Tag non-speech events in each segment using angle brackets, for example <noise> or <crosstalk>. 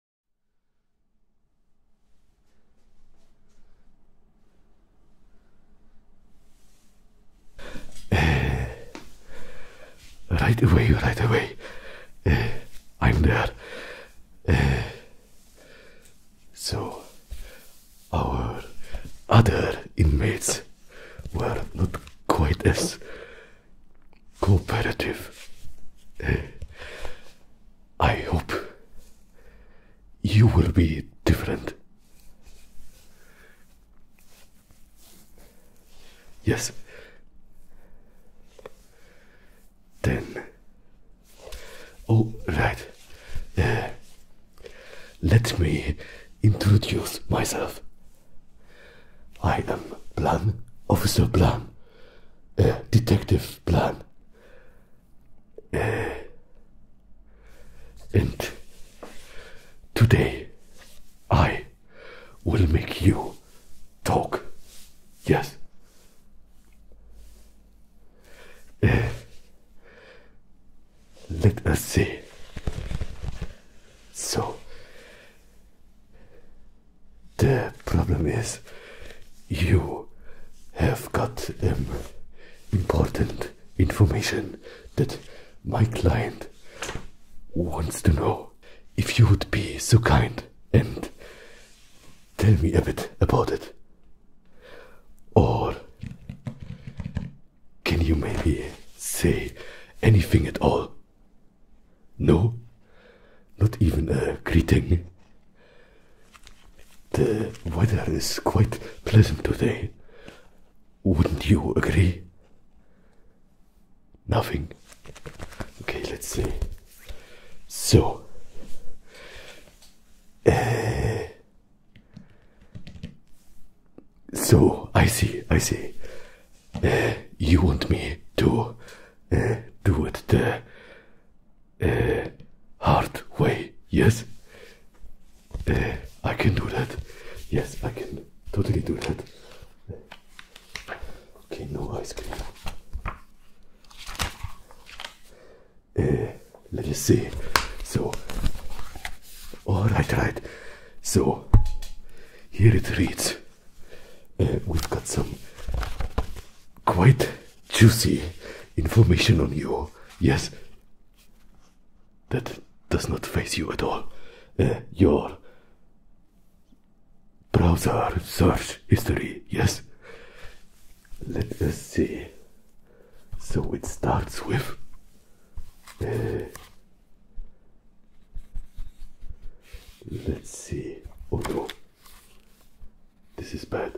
<sighs> right away, right away. <sighs> I'm there. <sighs> so, our other inmates were not quite as cooperative. Uh, I hope you will be different. Yes. Then. all right. Uh, let me introduce myself. I am Plan Officer Plan äh, detective plan. and today I will make you talk. Yes. let us see. So, the problem is, you have got um, important information that my client wants to know. If you would be so kind and tell me a bit about it. Or can you maybe say anything at all? No, not even a greeting. The weather is quite pleasant today. Wouldn't you agree? Nothing. Okay, let's see. So, uh, so I see, I see. Uh, you want me to uh, do it there uh, hard way. Yes, eh, I can do that. Yes, I can totally do that. Okay, no ice cream. Eh, let us see. So, all right, right. So, here it reads. we've got some quite juicy information on you. Yes, that does not face you at all. Uh, your browser search history, yes. Let us see. So it starts with. Uh, let's see. Oh no. This is bad.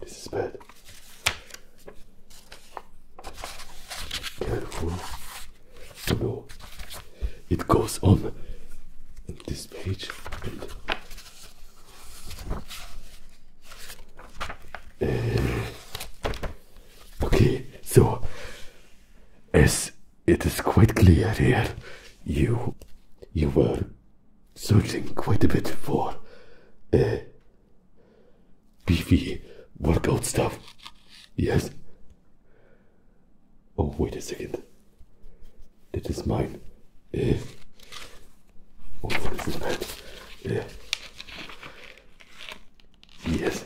This is bad. Careful. No. It goes on this page eh. okay so S it is quite clear here. You, you were searching quite a bit for a uh, beefy workout stuff. Yes. Oh, wait a second. That is mine. Uh, oh, this man? Uh, yes.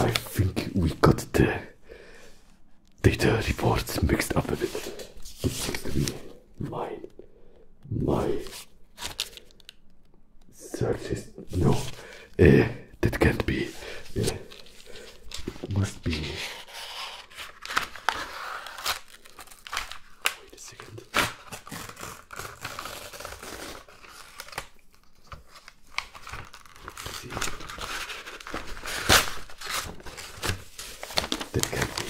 I think we got the data reports mixed up a bit. This seems to be mine. My search no. eh, that can't be. Eh, must be. Wait a second. That uh, can be.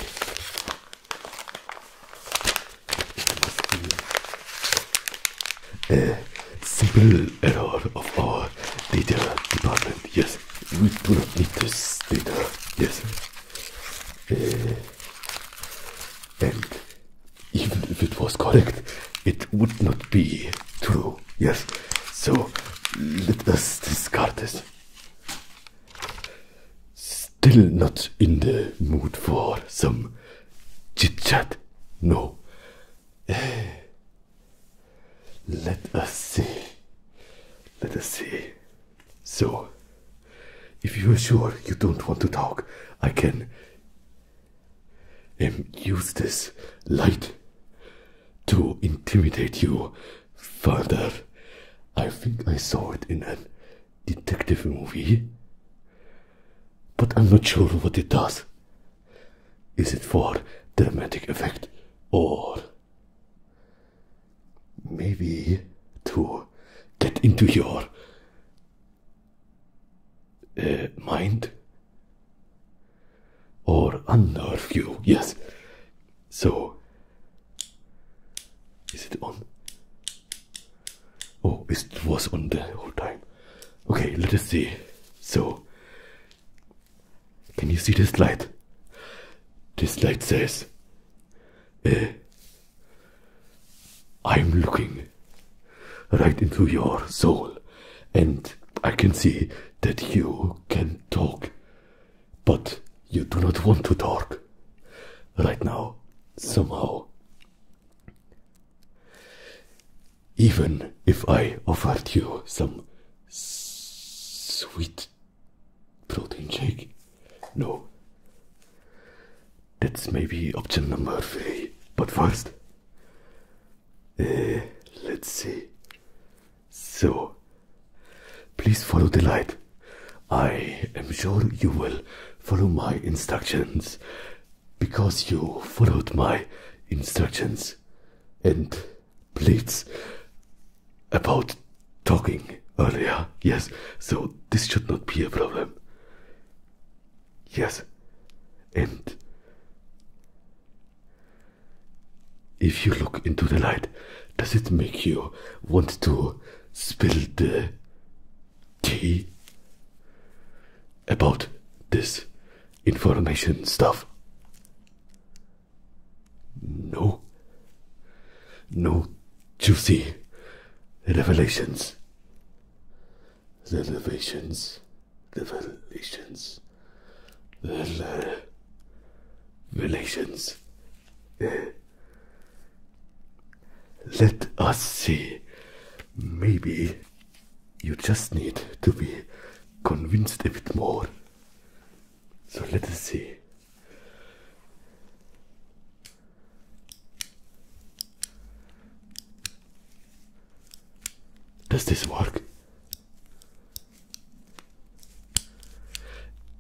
a simple error of our data department. Yes, we do not need this data. Yes. Uh, and even if it was correct, it would not be true yes, so let us discard this. Still not in the mood for some chit chat, no. <sighs> Let us see. Let us see. So, if you are sure you don't want to talk, I can and use this light to intimidate you further. I think I saw it in a detective movie, but I'm not sure what it does. Is it for dramatic effect or maybe to get into your uh, mind? or unnerve you. Yes. So, is it on? Oh, it was on the whole time. Okay, let us see. So, can you see this light? This light says, eh, I'm looking right into your soul and I can see that you can talk, but you do not want to talk right now, somehow. Even if I offered you some sweet protein shake, no. That's maybe option number three. But first, Eh, let's see. So, please follow the light. I am sure you will follow my instructions because you followed my instructions. And please, about talking earlier, yes, so this should not be a problem. Yes, and if you look into the light, does it make you want to spill the tea about this information stuff? No. No juicy revelations. Revelations. The relations, the Relations. Let us see. Maybe you just need to be convinced a bit more. So let us see. Does this work?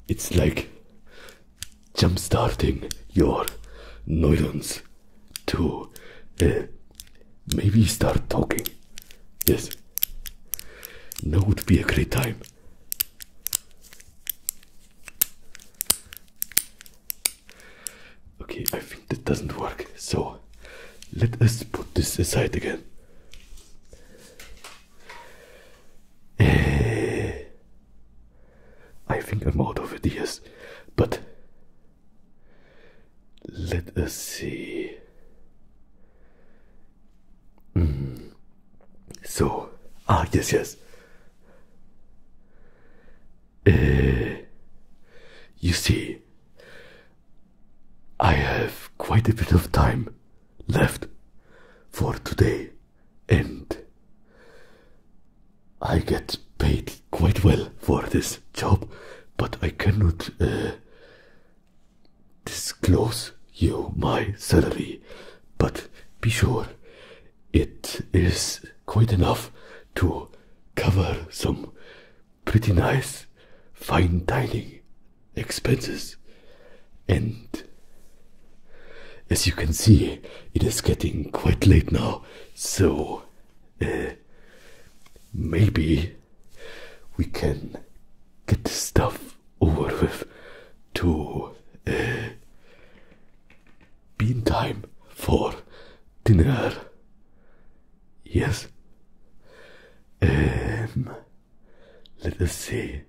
It's like jump starting your neurons to maybe start talking. Yes. that would be a great time. Okay, I think that doesn't work, so let us put this aside again. Eh, I think I'm out of ideas, but let us see. Hmm, so, ah, yes, yes. Eh, you see, I have quite a bit of time left for today, and I get paid quite well for this job, but I cannot uh, disclose you my salary. But be sure it is quite enough to cover some pretty nice fine dining expenses and as you can see it is getting quite late now so uh, maybe we can get this stuff over with to uh, be in time for dinner yes um let us see.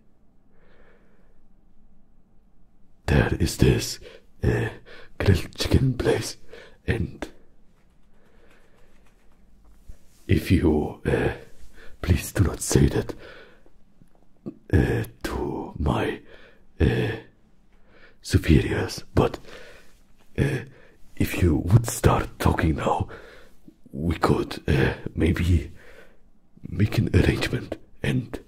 There is this uh, grilled chicken place, and if you uh, please do not say that uh, to my uh, superiors, but if you would start talking now, we could uh, maybe make an arrangement and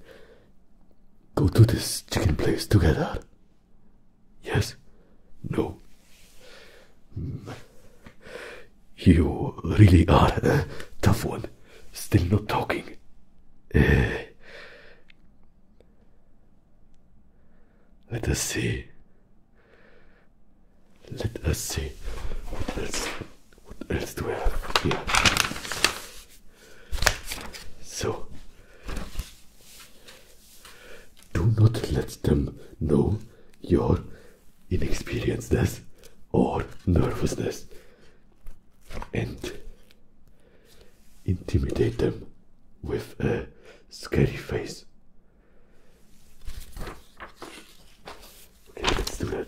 go to this chicken place together. Yes? No. Mm. You really are a tough one. Still not talking. Uh, let us see. Let us see what else what else do we have here. So do not let them know your inexperiencedness or nervousness and intimidate them with a scary face let's do that.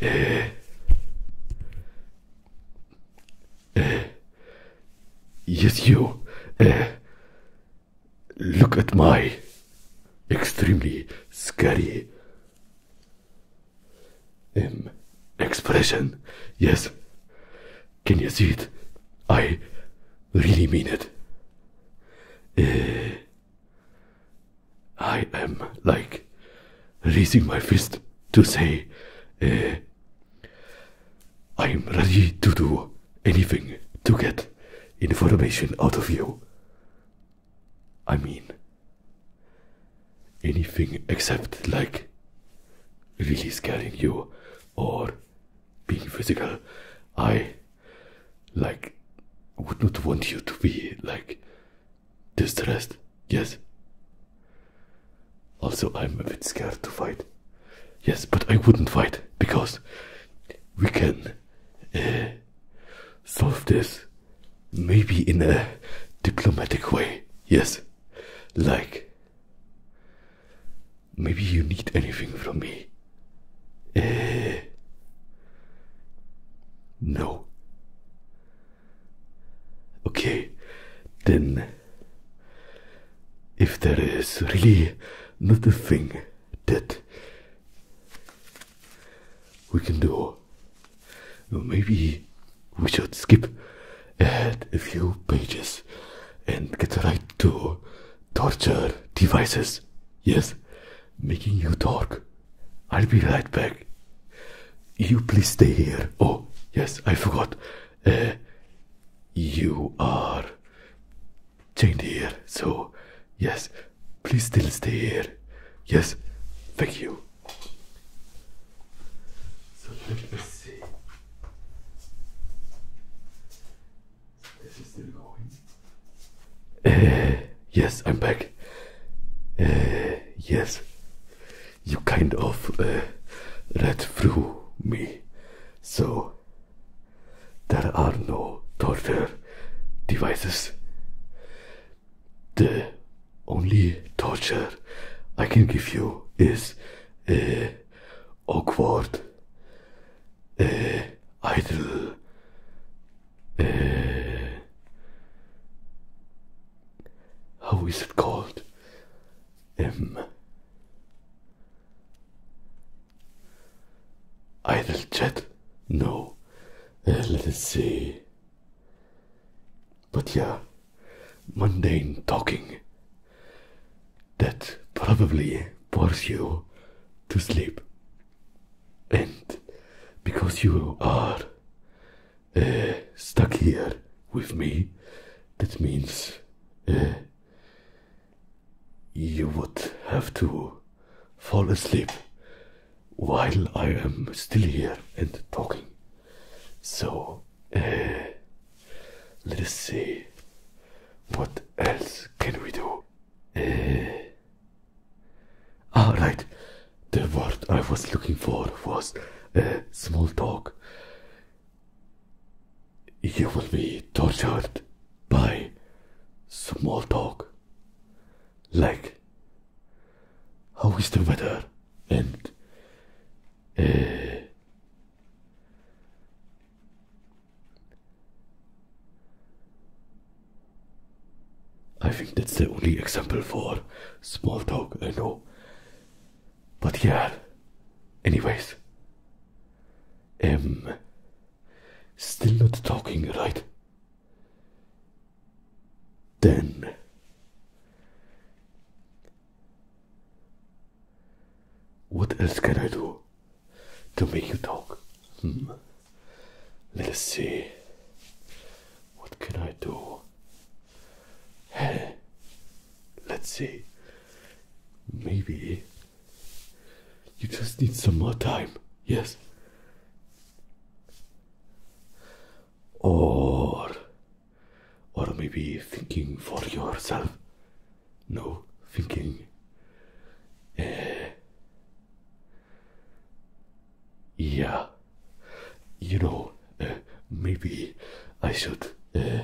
Eh. Eh. yes, you. Eh. look at my extremely scary expression. Yes. Can you see it? I really mean it. Eh, I am like raising my fist to say, eh, I am ready to do anything to get information out of you. I mean, anything except like really scaring you or being physical, I like would not want you to be like distressed. Yes. Also, I'm a bit scared to fight. Yes, but I wouldn't fight because we can uh, solve this maybe in a diplomatic way. Yes, like Maybe you need anything from me. Eh. No. Okay, then. If there is really not a thing that we can do, maybe we should skip ahead a few pages and get right to torture devices. Yes, making you talk. I'll be right back. You please stay here. Oh, yes, I forgot. Uh, you are chained here, so yes, please still stay here. Yes, thank you. So let me see. Is it still going? Uh, yes, I'm back. Uh, yes, you kind of uh, read through me, so there are no torture devices. The only torture I can give you is uh, awkward e, eh, eh, how is it called um, idle chat no eh, let us see but yeah mundane talking that probably bores you to sleep and because you are uh, stuck here with me, that means uh, you would have to fall asleep while I am still here and talking. So, uh, let's see. What else can we do? Ah, right. The word I was looking for was small talk. You will be tortured by small talk. Like, how is the weather? And, uh, I think that's the only example for small talk I know. But yeah, anyways, um, still not talking, right? Then what else can I do? to make you talk. Hmm. Let us see. What can I do? Hey, let's see. Maybe you just need some more time. Yes. Or, or maybe thinking for yourself. No, thinking. Uh, yeah, you know, uh, maybe I should uh,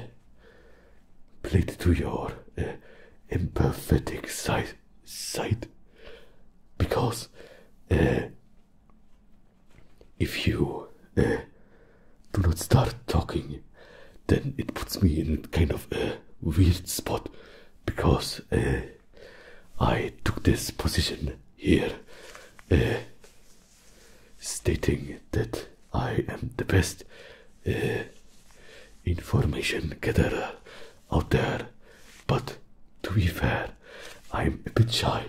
plead to your uh, empathetic side, side because uh, if you do not start talking, then it puts me in kind of a weird spot because eh, I took this position here, eh, stating that I am the best eh, information gatherer out there. But to be fair, I'm a bit shy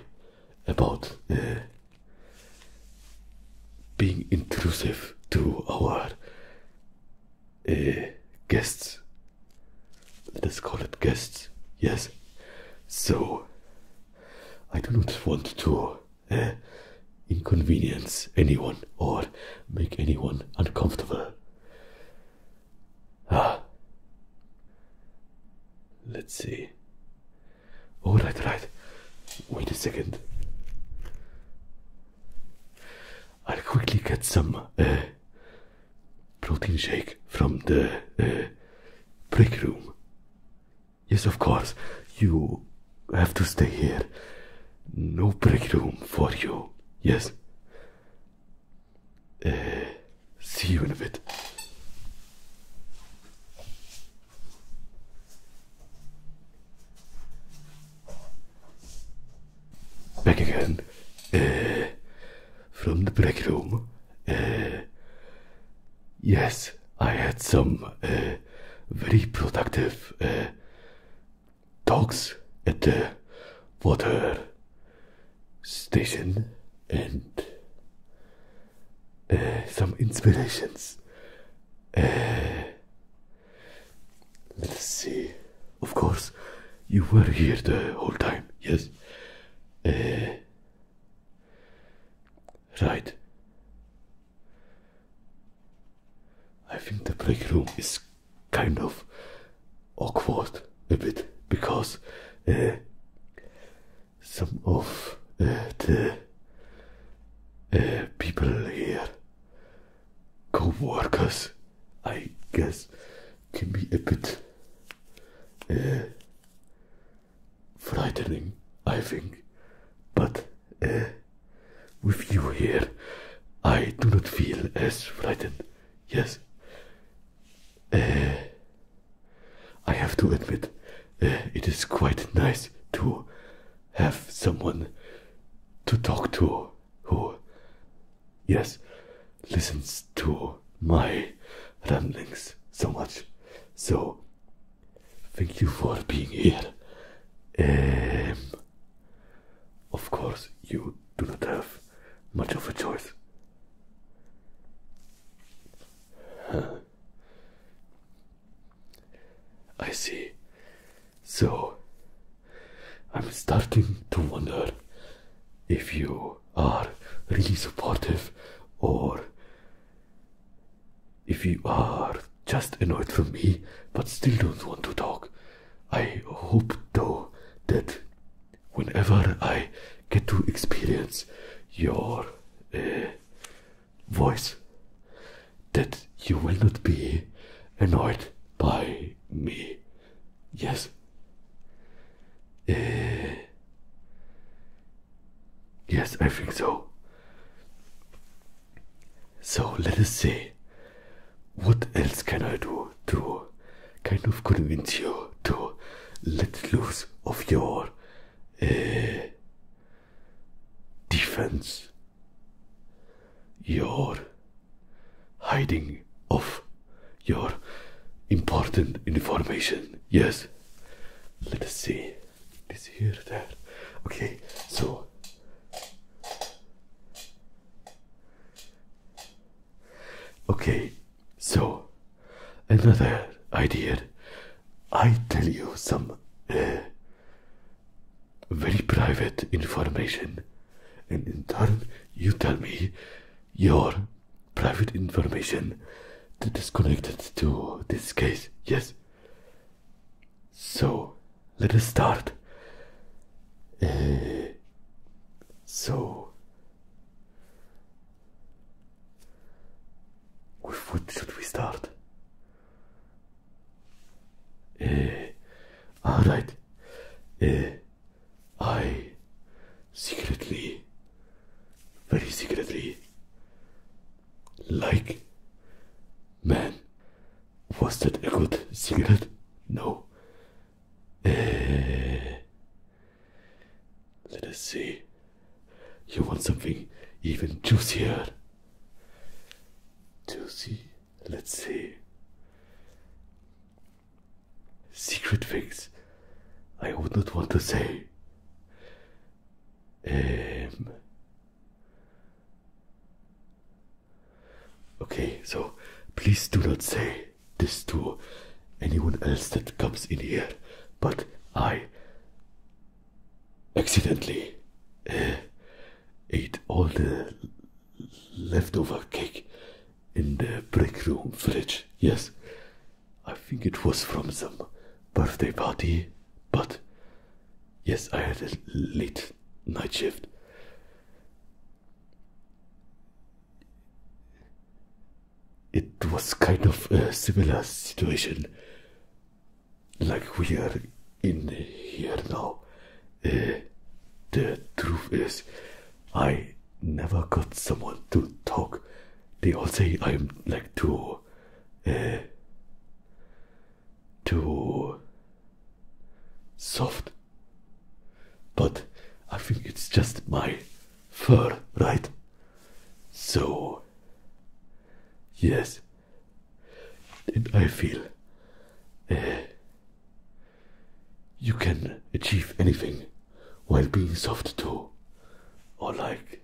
about being intrusive to our uh, guests. Let's call it guests. Yes. So, I do not want to uh, inconvenience anyone or make anyone uncomfortable. Ah. Let's see. All right, all right. Wait a second. I'll quickly get some. Uh, protein shake from the uh, break room. Yes, of course, you have to stay here. No break room for you. Yes. Uh, see you in a bit. Back again. from the break room. yes, I had some øh, very productive øh, talks at the water station and øh, some inspirations. let's see. Of course, you were here the whole time, yes? Eh, right. I think the break room is kind of awkward a bit because eh, some of eh, the people here, co workers, I guess can be a bit uh, frightening, I think. But uh, with you here, I do not feel as frightened. Yes. Uh, I have to admit, it is quite nice to have someone to talk to who yes, listens to my ramblings so much. So, thank you for being here. Um, of course, you do not have much of a choice. I see. So, I'm starting to wonder if you are really supportive or if you are just annoyed for me but still don't want to talk. I hope though that whenever I get to experience your uh, voice, that you will not be annoyed by me. Yes. Eh. yes, I think so. So let us see. What else can I do to kind of convince you to let loose of your eh, defense? Your hiding of your important information. Yes. Let us see. This here, there. Okay, so. Okay, so another idea. I tell you some uh, very private information and in turn, you tell me your private information that is connected to this case. Yes. So, let us start. Eh, so, with what should we start? Eh, all right. Eh, I secretly, very secretly, like. Man, was that a good cigarette? No. Uh, let us see. You want something even juicier? Juicy? Let's see secret things I would not want to say. Um, okay, so please do not say this to anyone else that comes in here, but I accidentally uh, ate all the leftover cake in the break room fridge. Yes, I think it was from some birthday party, but yes, I had a late night shift. It was kind of a similar situation like we are in here now, Eh, the truth is, I never got someone to talk. They all say I'm like too. Uh, too. soft. But I think it's just my fur, right? So. Yes. And I feel. Uh, you can achieve anything while being soft too, or like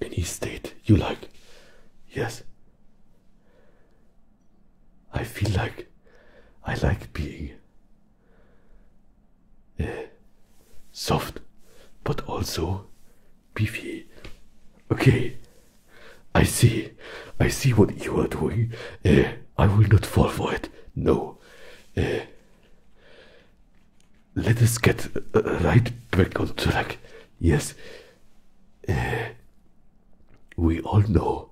any state you like. Yes. I feel like I like being eh, soft, but also beefy. Okay, I see. I see what you are doing. Eh, I will not fall for it. No. eh. let us get right back on track. Yes. Eh. we all know,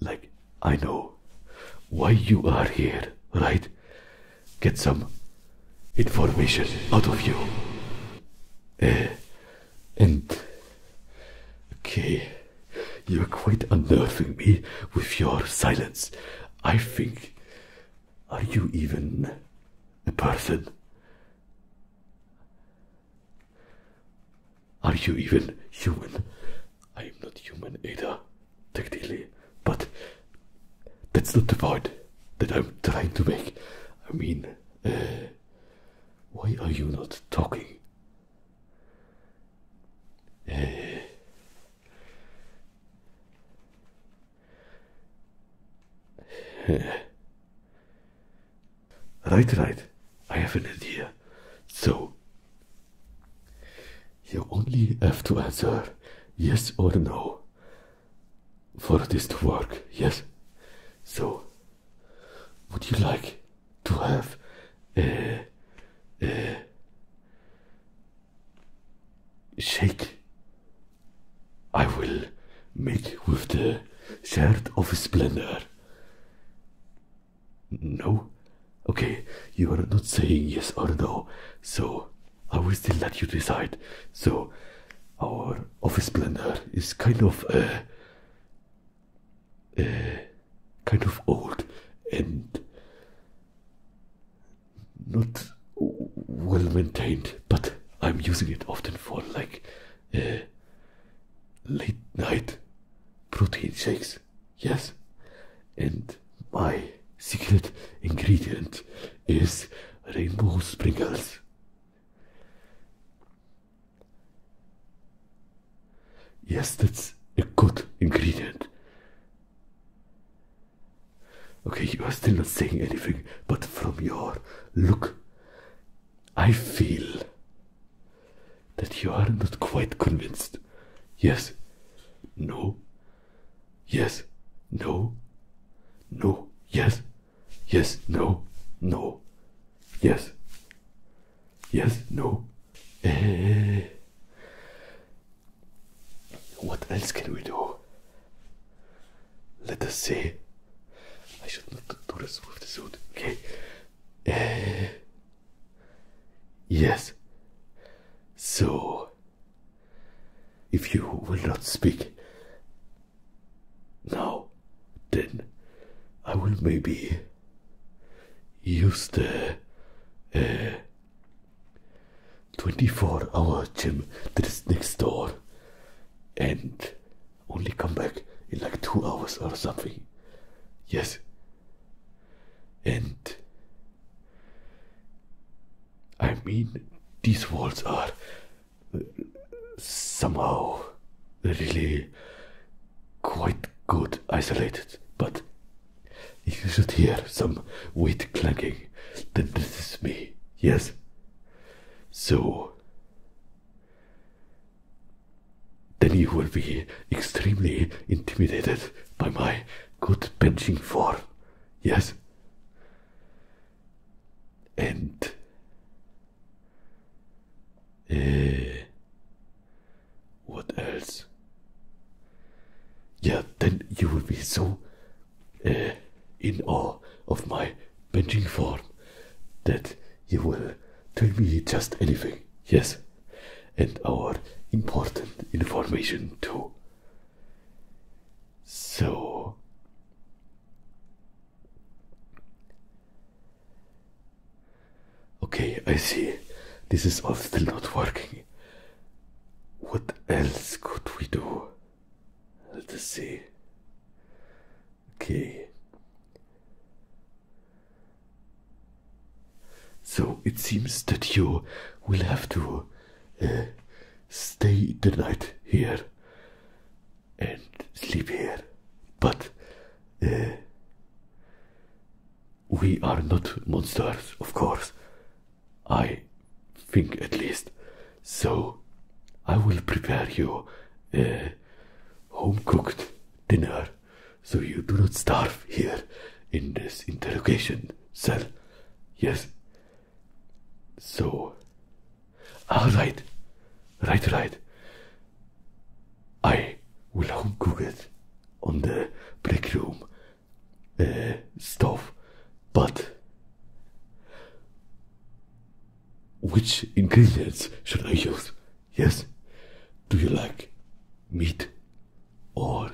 like, I know why you are here, right? Get some information out of you. Eh and okay, you're quite unnerving me with your silence. I think, are you even a person? Are you even human? I am not human either, technically, but that's not the point that I'm trying to make. I mean, uh, why are you not talking? Eh. <laughs> right, right. I have an idea. So, you only have to answer yes or no for this to work, yes? So, would you like to have a, a shake? I will make with the shard of splendor. No? Okay, you are not saying yes or no, so I will still let you decide. So, our office blender is kind of a Eh, kind of old and not well maintained, but I'm using it often for like eh, late night protein shakes. Yes, and my secret ingredient is rainbow sprinkles. Yes, that's a good ingredient. Okay, you are still not saying anything, but from your look, I feel that you are not quite convinced. Yes, no, yes, no, no, yes, yes, no, no, yes, yes, no. <laughs> what else can we do? Let us see. I should not do this with the suit, okay? <laughs> yes. So, if you will not speak now, then I will maybe. Used the uh, eh, 24 hour gym that is next door and only come back in like two hours or something. Yes. And I mean, these walls are somehow really quite good isolated, but if you should hear some weight clanking, then this is me, yes? So, then you will be extremely intimidated by my good benching form, yes? And uh, what else? Yeah, then you will be so uh, in awe of my bending form that you will tell me just anything. Yes, and our important information too. So, Okay, I see. This is all still not working. What else could we do? Let's see. Okay. So it seems that you will have to uh, stay the night here and sleep here. But uh, we are not monsters, of course. I think at least. So, I will prepare you a home cooked dinner so you do not starve here in this interrogation cell. Yes. So, all ah, right, right, right. I will cook it on the break room uh, stove, but which ingredients should I use? Yes, do you like meat or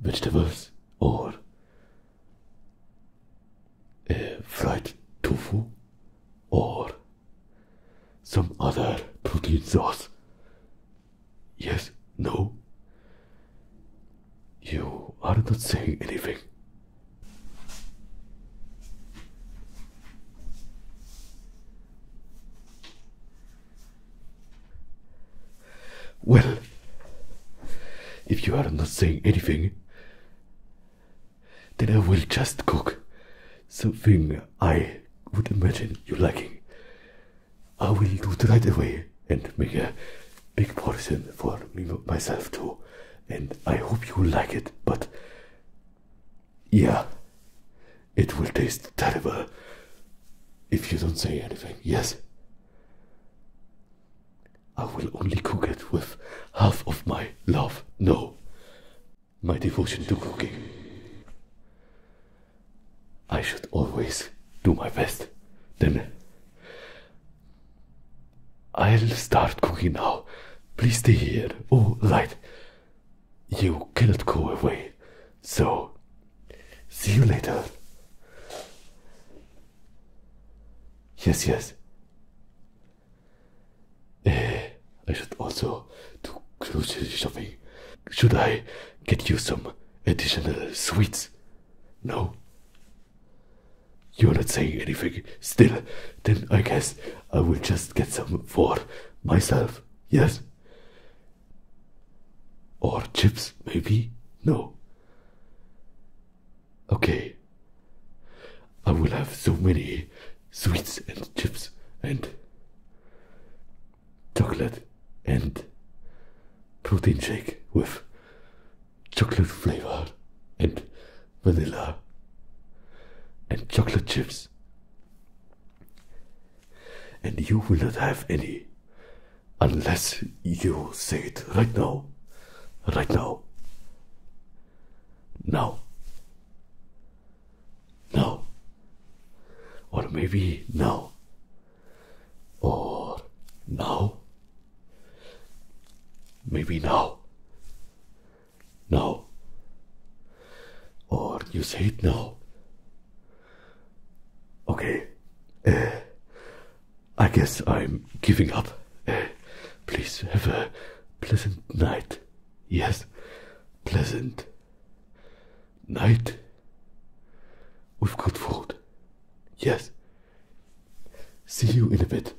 vegetables or uh, fried tofu or some other protein source. Yes, no. You are not saying anything. Well, if you are not saying anything, then I will just cook something I would imagine you liking. I will do it right away and make a big portion for me myself too. And I hope you like it, but yeah, it will taste terrible if you don't say anything, yes? I will only cook it with half of my love. No, my devotion to cooking. I should always do my best. Then I'll start cooking now. Please stay here. Oh, light. You cannot go away. So, see you later. Yes, yes. Uh, I should also do grocery shopping. Should I get you some additional sweets? No. You're not saying anything. Still, then I guess I will just get some for myself. Yes? Or chips, maybe? No. Okay. I will have so many sweets and chips and chocolate and protein shake with chocolate flavor and vanilla and chocolate chips. And you will not have any unless you say it right now. Right now. Now. No. Or maybe no. Or no. Maybe no. No. Or you say it now. Okay. Uh, I guess I'm giving up. Uh, please have a pleasant night. Yes, pleasant night. We've got food. Yes. See you in a bit.